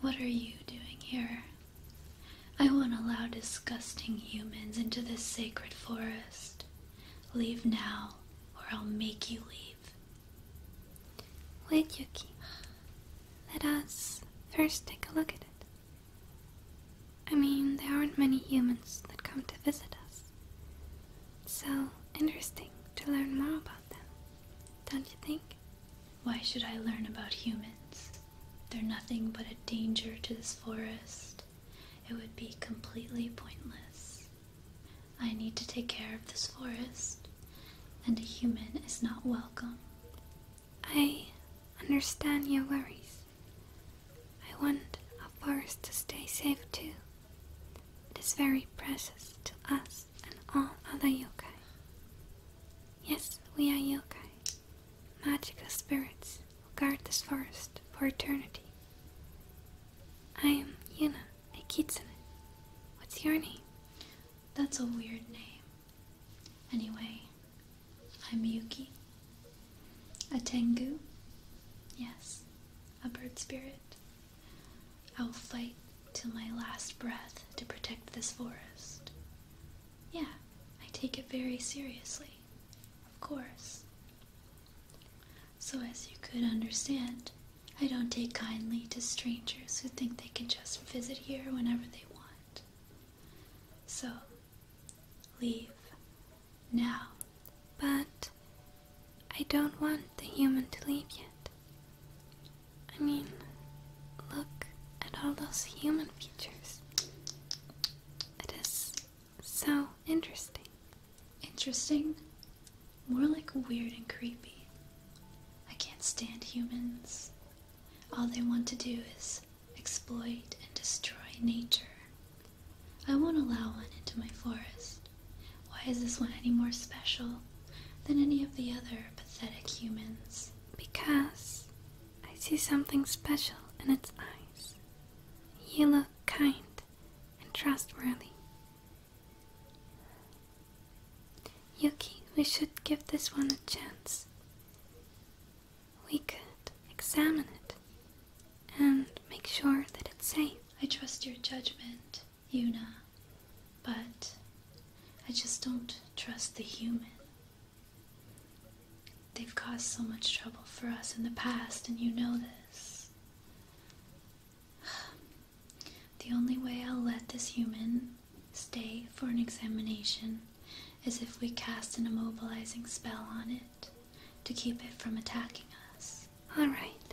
What are you doing here? I won't allow disgusting humans into this sacred forest. Leave now, or I'll make you leave. Wait, Yuki. Let us first take a look at it. I mean, there aren't many humans that come to visit us. So interesting to learn more about don't you think? Why should I learn about humans? They're nothing but a danger to this forest. It would be completely pointless. I need to take care of this forest, and a human is not welcome. I understand your worries. I want a forest to stay safe too. It is very precious to us and all other yokai. Yes, we are yokai, magical spirits who guard this forest for eternity. I am Yuna, a kitsune. What's your name? That's a weird name. Anyway, I'm Yuki. A Tengu? Yes, a bird spirit. I will fight till my last breath to protect this forest. Yeah, I take it very seriously, of course. So, as you could understand, I don't take kindly to strangers who think they can just visit here whenever they want. So, leave now. But I don't want the human to leave yet. I mean, look at all those human features. It is so interesting. Interesting? More like weird and creepy. I can't stand humans. All they want to do is exploit and destroy nature. I won't allow one into my forest. Why is this one any more special than any of the other pathetic humans? Because I see something special in its eyes. You look kind and trustworthy. Yuki, we should give this one a chance. We could examine it and make sure that it's safe. I trust your judgment. Una, but I just don't trust the human. They've caused so much trouble for us in the past, and you know this. The only way I'll let this human stay for an examination is if we cast an immobilizing spell on it to keep it from attacking us. All right.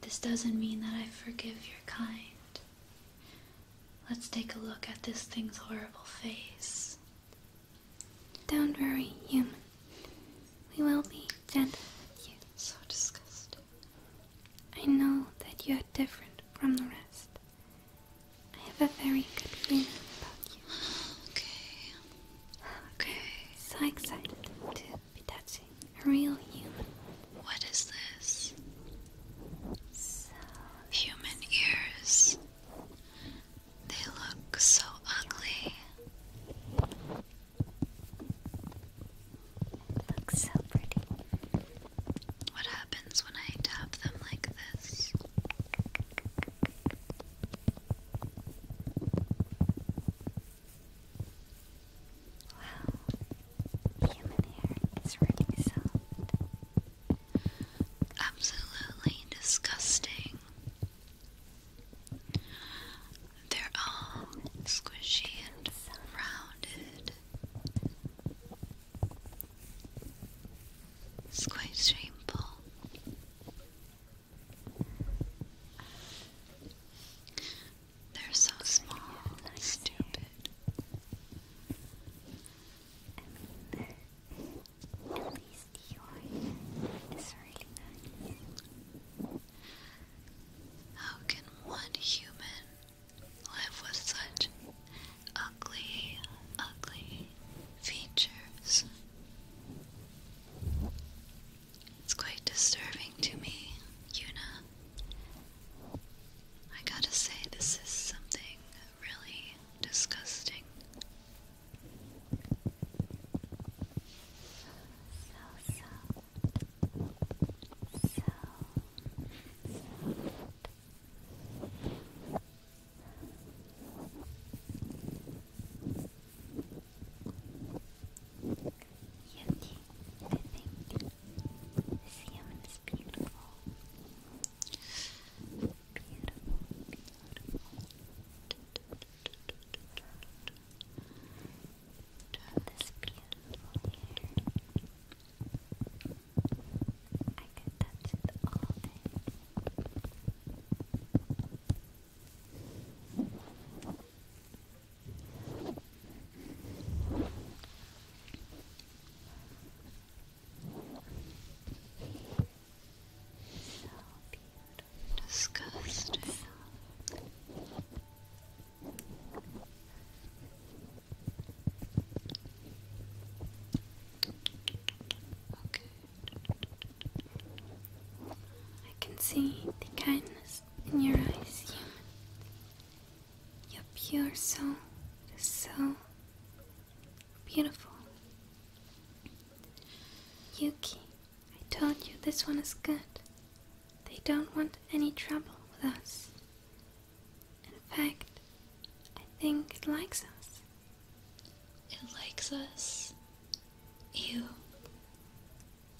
This doesn't mean that I forgive your kind. Let's take a look at this thing's horrible face. Don't worry, human. We will be gentle with you. So disgusting. I know that you are different from the rest. I have a very good feeling about you. Okay. Okay. So excited to be touching real human. What is this? human ears. They look so ugly. It looks so pretty. What happens when I tap them like this? Wow, human hair is really soft. Absolutely disgusting. They're all squishy and rounded. It's quite shameful. They're so small and stupid. at least yours is really nice. How can one human live with such ugly, ugly features? It's quite disturbing to me, Yuna. I gotta say, this is something really disgusting. You need think this human is beautiful. Beautiful, beautiful. this beautiful hair. I could touch it all day. Disgusting. Okay. I can see the kindness in your eyes, human. Your pure soul is so beautiful. Yuki, I told you this one is good. They don't want any trouble with us. In fact, I think it likes us. It likes us? You.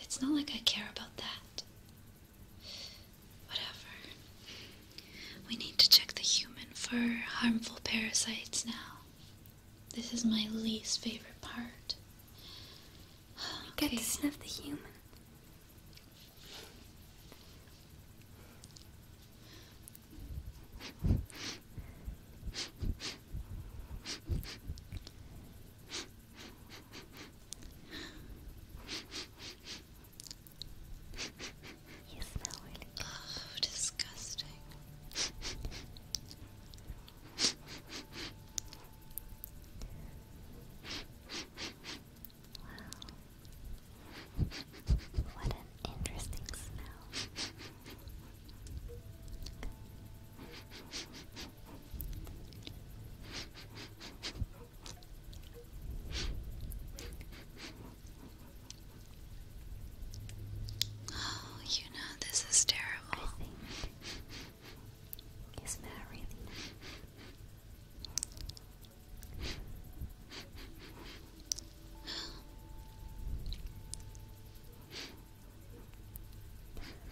It's not like I care about that. Whatever. We need to check the human for harmful parasites now. This is my least favorite part. I Get to sniff the human. Oh, disgusting. Wow. What an interesting smell. Oh, you know this is terrible. interesting. I've never smelled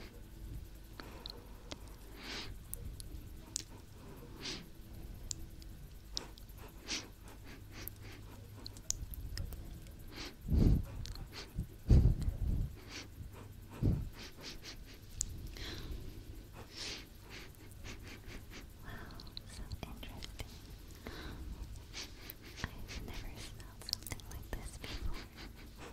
something like this before.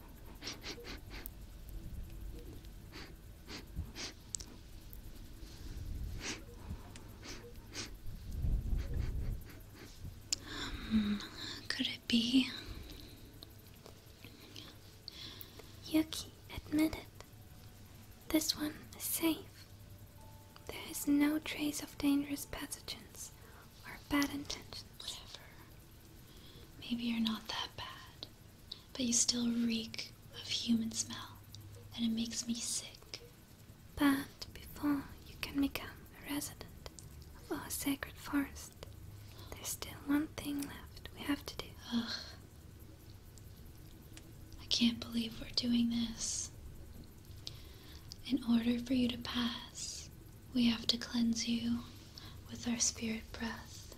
Um, could it be? Yuki, admit it. This one is safe. There is no trace of dangerous pathogens or bad intentions. Whatever. Maybe you're not that bad, but you still reek of human smell, and it makes me sick. But before you can become a resident of our sacred forest, there's still one thing left we have to do. Ugh. I can't believe we're doing this. In order for you to pass, we have to cleanse you with our spirit breath.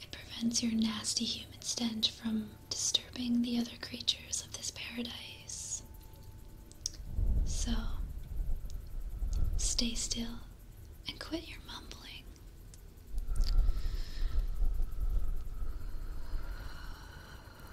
It prevents your nasty human stench from disturbing the other creatures of this paradise. So, stay still and quit your mumbling.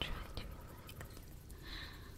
Try to relax.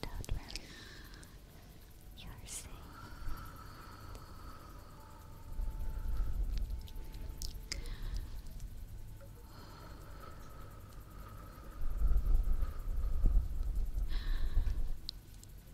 Don't worry, you're safe.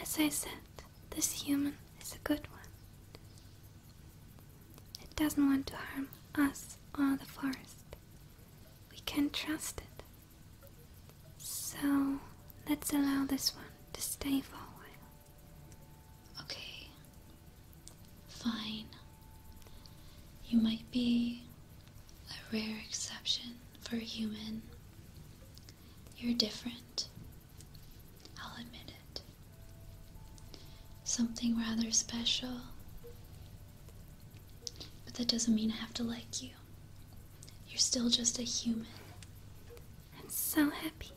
as I said, this human is a good one. It doesn't want to harm us or the forest. We can trust it. So let's allow this one to stay for a while. Okay. Fine. You might be a rare exception for a human. You're different. I'll admit it. Something rather special. But that doesn't mean I have to like you. You're still just a human. I'm so happy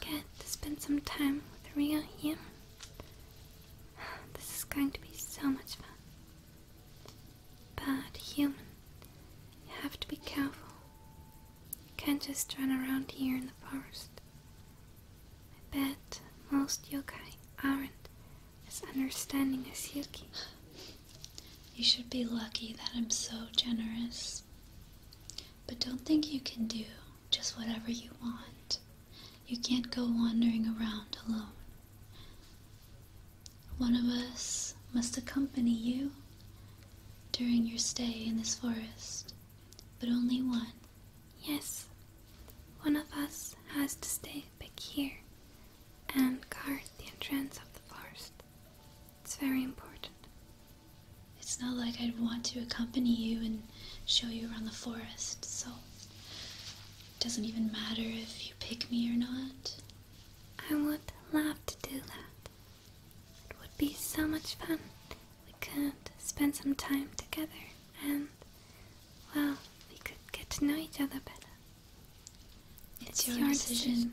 get to spend some time with Ria here. This is going to be so much fun. But, human, you have to be careful. You can't just run around here in the forest. I bet most yokai aren't as understanding as Yuki. You should be lucky that I'm so generous. But don't think you can do just whatever you want. You can't go wandering around alone. One of us must accompany you during your stay in this forest, but only one. Yes, one of us has to stay back here and guard the entrance of the forest. It's very important. It's not like I'd want to accompany you and show you around the forest, so it doesn't even matter if you pick me or not. I would love to do that. It would be so much fun. We could spend some time together and, well, we could get to know each other better. It's, your, decision.